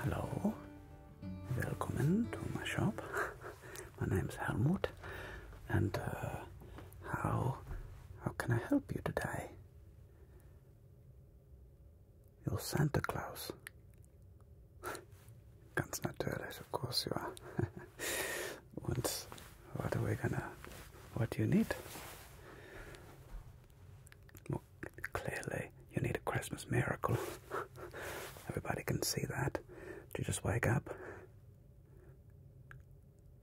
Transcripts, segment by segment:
Hello, welcome to my shop. my name is Helmut, and uh, how how can I help you today? You're Santa Claus. Ganz natürlich, of course you are. Und what are we gonna, what do you need? Well, clearly, you need a Christmas miracle. Everybody can see that. you just wake up?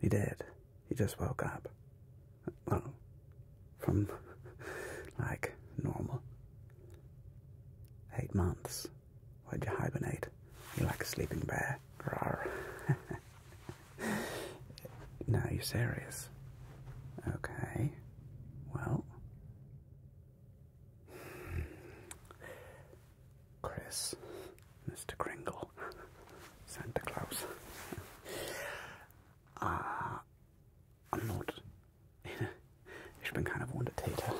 You did. You just woke up. Well, from like normal. Eight months. Why'd you hibernate? You are like a sleeping bear. no, you're serious. Okay. Well. Chris. Mr. Kringle. Santa Claus. Ah. I'm not. you Ich bin kind of wundertäter.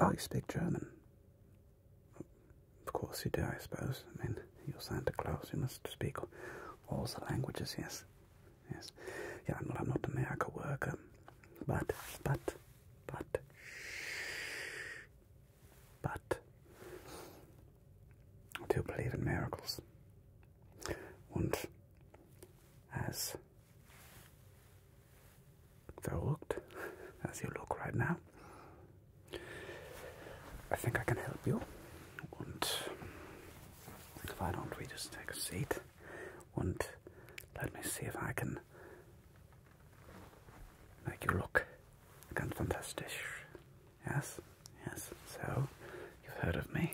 Oh, you speak German. Of course you do, I suppose. I mean, you're Santa Claus. You must speak all the languages. Yes, yes. Yeah, I'm not. I'm not a miracle worker, but, but, but, but. I do believe in miracles. And as that worked, as you look right now. I think I can help you. And why don't we just take a seat and let me see if I can make you look again fantastic. Yes, yes. So, you've heard of me.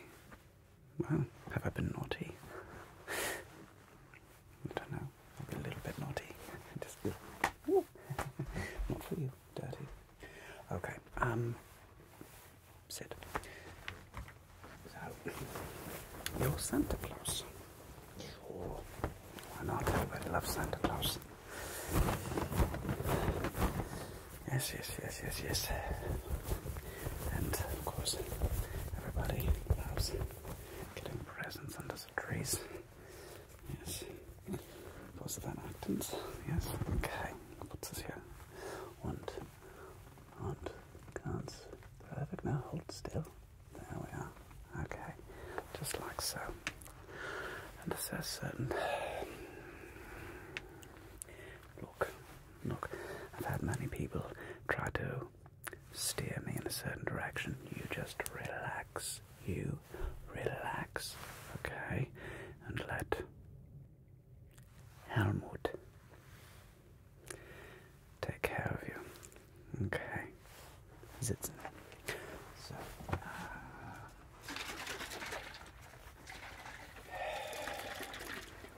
Well, have I been naughty? I don't know, i a little bit naughty. Just not for you, dirty. Okay, um, sit. So, you're Santa Claus. Sure. Why not? Everybody loves Santa Claus. Yes, yes, yes, yes, yes. And of course, everybody loves Getting presents under the trees. Yes. Those Weihnachtens. Yes. Okay. Put this here? Und, und, ganz perfect. Now hold still. There we are. Okay. Just like so. And it says certain. Look, look, I've had many people try to steer me in a certain direction. You just relax. You relax, okay? And let Helmut take care of you, okay? Sitzen. So, uh,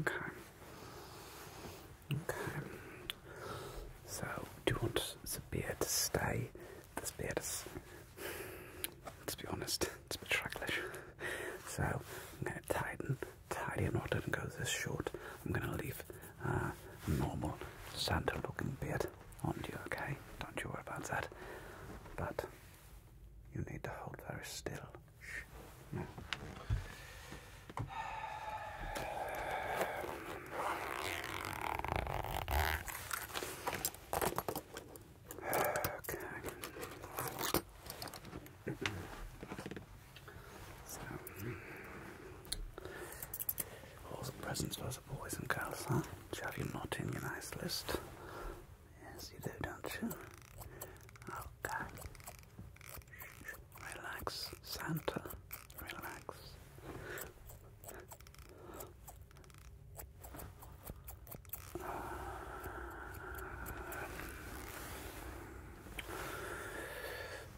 Okay. Okay. So, do you want the beard to stay? This beard is, let's be honest, it's a bit So, I'm going to tighten, tidy and knot and go this short. I'm going to leave uh, normal Santa-looking beard onto you, okay? Don't you worry about that. But you need to hold very still. Okay. All some presents for the boys and girls, huh? Do you not in your nice list? Yes, you do, don't you? Okay. Relax, Santa. Relax.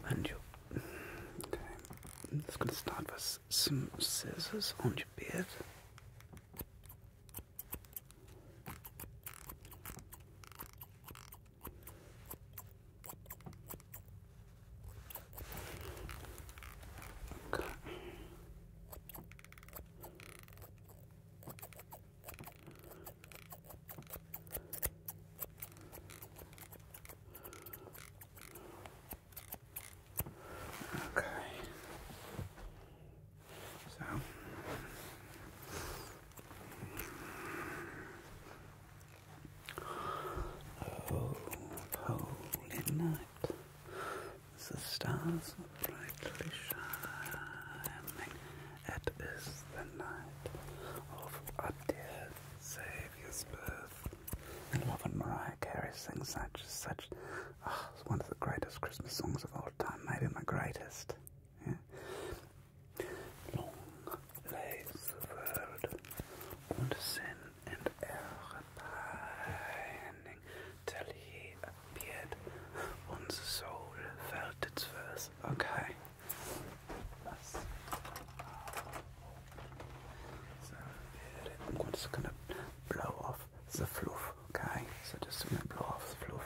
and you I'm just gonna start with some scissors on your beard. Okay. Okay. So holy night. The stars brightly shining. It is the night of our dear Saviour previous birth. And love when Mariah Carey sings such, such, oh, it's one of the greatest Christmas songs of all time, maybe my greatest. Long lay the world und sin and error pining till he appeared. One's soul felt its verse. Okay. So here I'm just gonna blow off the fluff, okay? So just gonna blow off the fluff.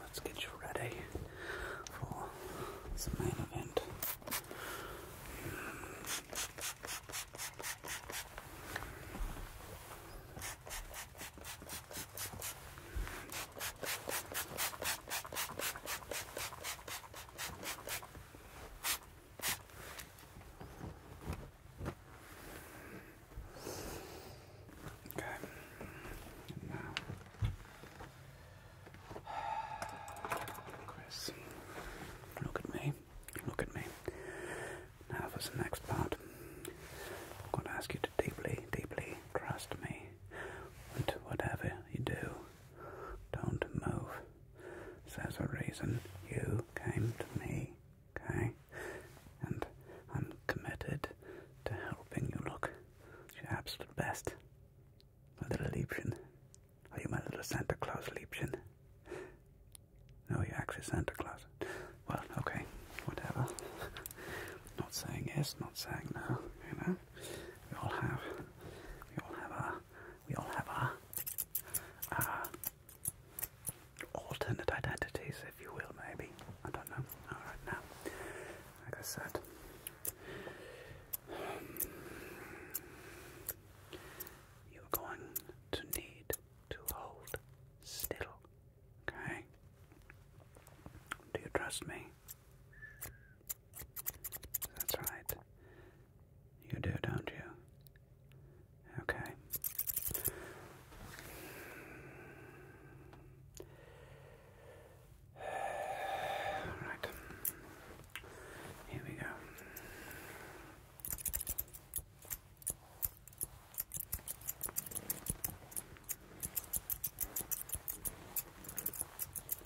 Let's get you ready for the main event. Okay. now, Chris, look at me. Look at me. Now for the next part. I'm going to ask you to deeply, deeply trust me. And whatever you do, don't move there's a reason you came to me, okay? And I'm committed to helping you look your absolute best. My little Liebchen. Are you my little Santa Claus Liebchen? No, you're actually Santa Claus. Well, okay, whatever. not saying yes, not saying no, you know? We all have, we all have our we all have our alternate identities, if you will, maybe. I don't know. Alright, now, like I said, you're going to need to hold still, okay? Do you trust me? That's right. You do, don't you? Okay. All right. Here we go.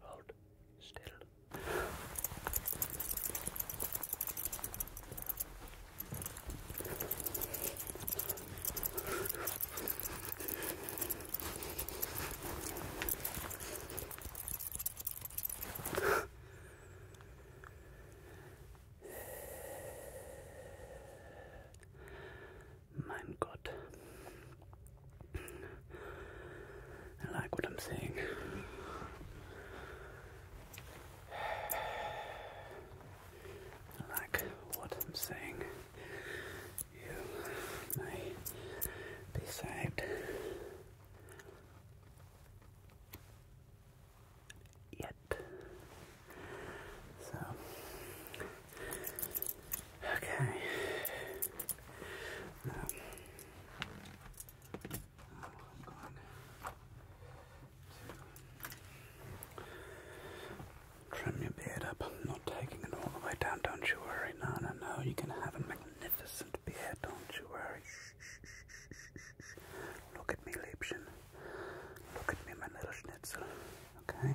Hold still. Mein Gott, I like what I'm saying. I like what I'm seeing. You may be saved. Yet. So Okay. trim your beard up. not taking it all the way down, don't you worry. No, no, no. You can have a magnificent beard, don't you worry. Look at me, Liebchen. Look at me, my little schnitzel. Okay?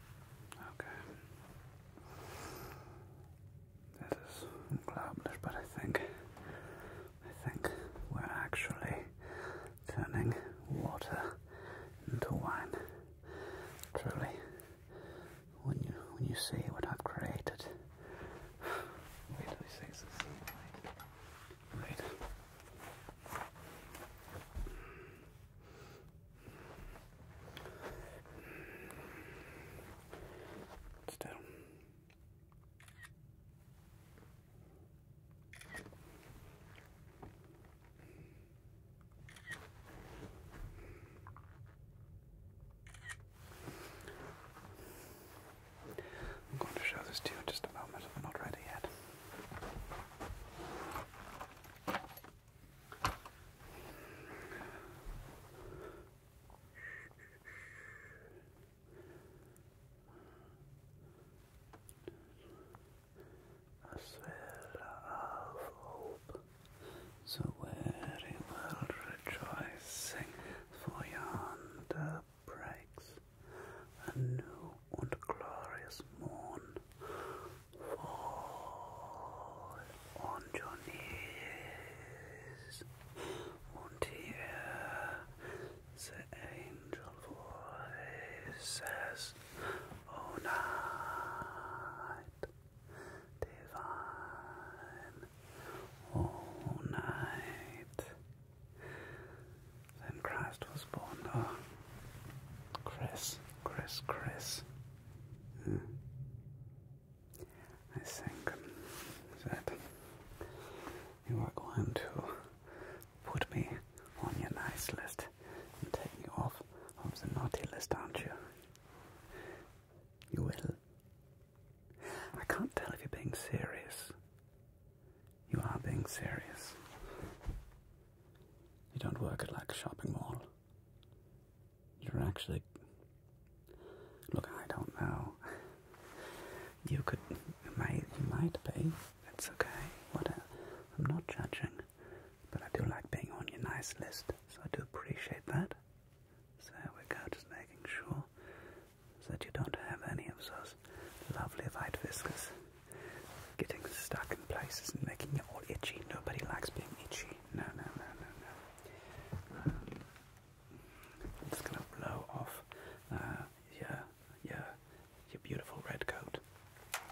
Okay. This is but I think I think we're actually turning water into wine. Truly. When you when you see what I've created. Wait, let Wait. Wait. Still. I'm going to show this to you in just a moment, I'm not ready yet. A spell of hope, so very world rejoicing, for yonder breaks a new and glorious morn on your knees until the angel voice says, oh, night, divine, oh night, then Christ was born. Oh, Chris, Chris, Chris. Hmm. I think that you are going to put me on your nice list and take me off of the naughty list, aren't you? You will. I can't tell if you're being serious. You are being serious. You don't work at like a shopping mall. You're actually. Look, I don't know. You could. You might, be. That's okay. What? I'm not judging. But I do like being on your nice list, so I do appreciate that. So we go, just making sure that you don't have any of those lovely white whiskers getting stuck in places and making it all itchy. Nobody likes being itchy. No, no, no, no, no. Um, gonna blow off uh, your, your, your beautiful red coat,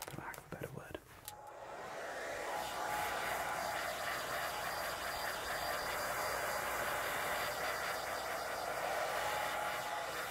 for lack of a better word.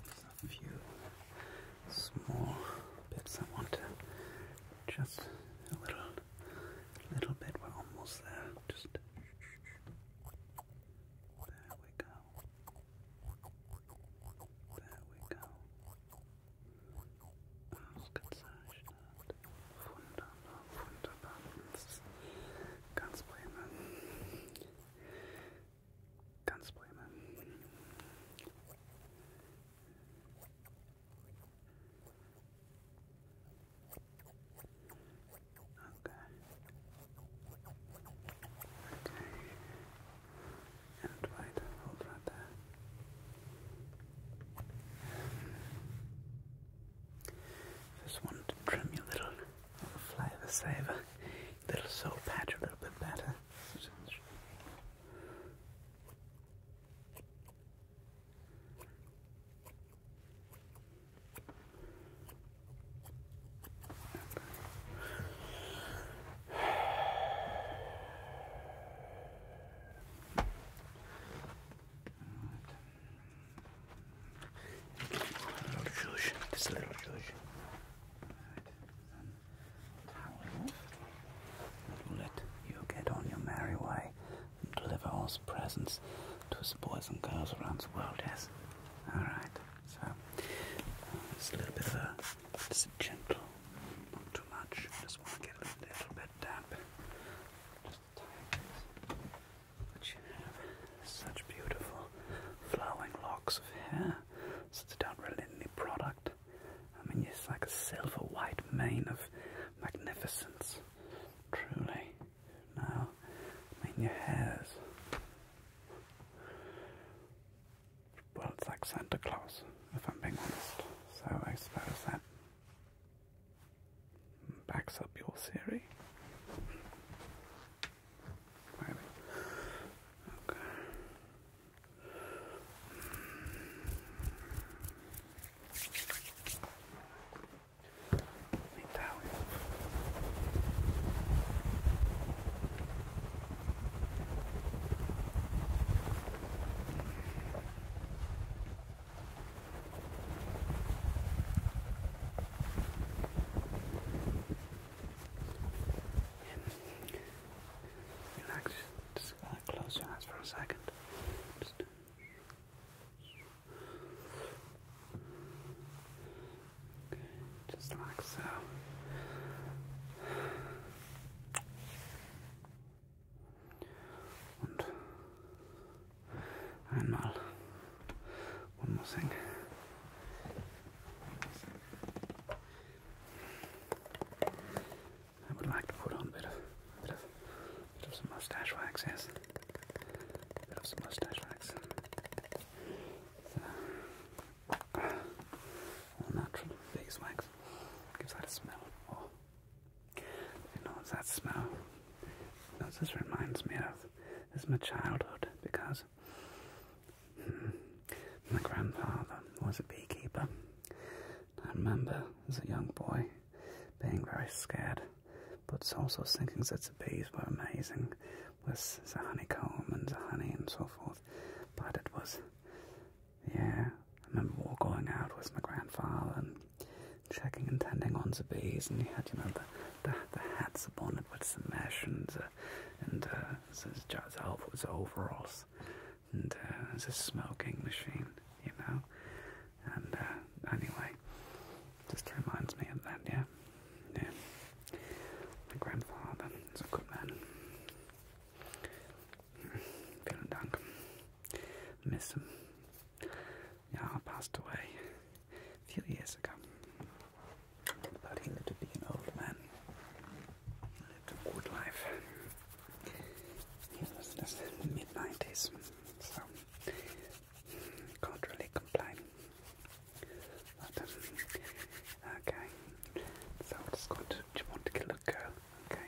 just a few small bits I want to just a little, little bit. We're almost there. Just there we go. There we go. ganz prima. Ganz Bremen. Okay. Okay. And right, hold right there. Just want to trim you a little flavor saver little soul patch a little bit better. This little George let you get on your merry way and deliver all us presents to the boys and girls around the world, yes? Alright, so uh, it's a little bit of a, just a gentle, not too much, just want to get a little bit damp. Just tie this. But you have such beautiful flowing locks of hair, so they don't product. I mean, it's like a silver white mane of magnificence, truly. Now, I mean, your hair's. Well, it's like Santa Claus, if I'm being honest. So I suppose that backs up your theory. Maybe. Okay. Italian. Okay. Relax. Just uh, close your eyes for a second. Just like so. Und einmal. One more thing. I would like to put on a bit of, bit bit of some mustache wax, yes. A bit of some mustache wax. all natural face gives that a smell. Oh, you know, that smell. this reminds me of this my childhood because my grandfather was a beekeeper. I remember as a young boy being very scared, but also thinking that the bees were amazing with the honeycomb and the honey and so forth. But it was, yeah, I remember all going out with my grandfather and checking and tending on the bees, and he had, you know, the, hats upon it with some mesh and, uh, and uh, the, the overalls and uh, the smoking machine, you know. And uh, anyway, just reminds me of that, yeah. Yeah. My grandfather is good man. Mm, vielen Dank. Miss him. Yeah, passed away a few years ago. But he lived to be an old man. lived a good life. He was just in mid 90s, so can't really complain. Um, okay, so I just got to, do you want Okay.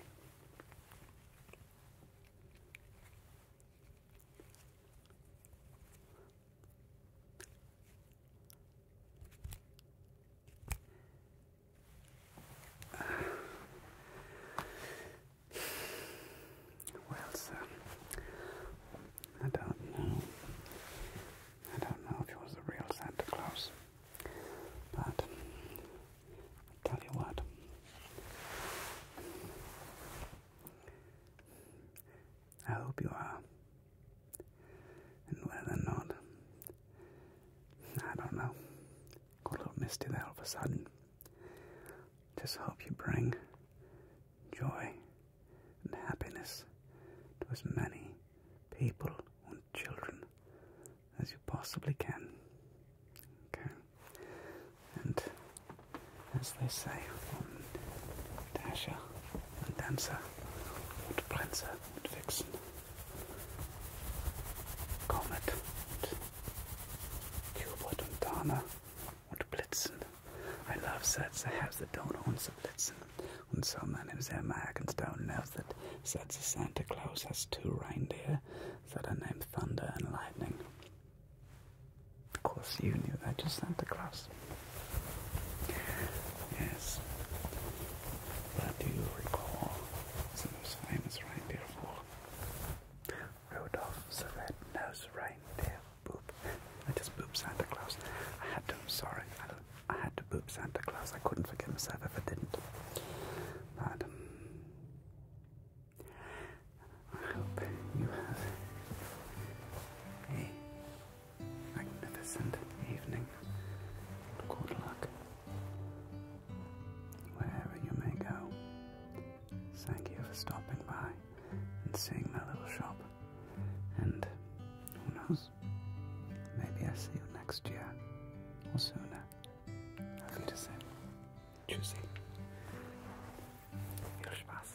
Well, sir, um, I don't know. I don't know if he was the real Santa Claus, but i tell you what. I hope you are. And whether or not, I don't know. Got a little misty there of a sudden. Just hope you bring joy and happiness to as many people and children as you possibly can. Okay and as they say on Dasher and Dancer and Prancer and Vixen, Comet and Cupid and Dana und Blitzen. I love sets that has the Dona and the Blitzen. And so my name is Emma Hackenstone knows that Santa Claus has two reindeer that are named Thunder and Lightning. Of course you knew that, just Santa Claus. Yes. But do you recall the most famous reindeer Rudolph the Red-Nosed Reindeer? Boop. I just booped Santa Claus. I had to, sorry. I, had to boop Santa Claus. I couldn't forgive myself if I didn't. But, um, I hope you have a magnificent evening. Good luck. Wherever you may go, thank you for stopping by and seeing my little shop. And who knows, maybe I see you next year or sooner. Auf Wiedersehen. Tschüssi. Viel Spaß.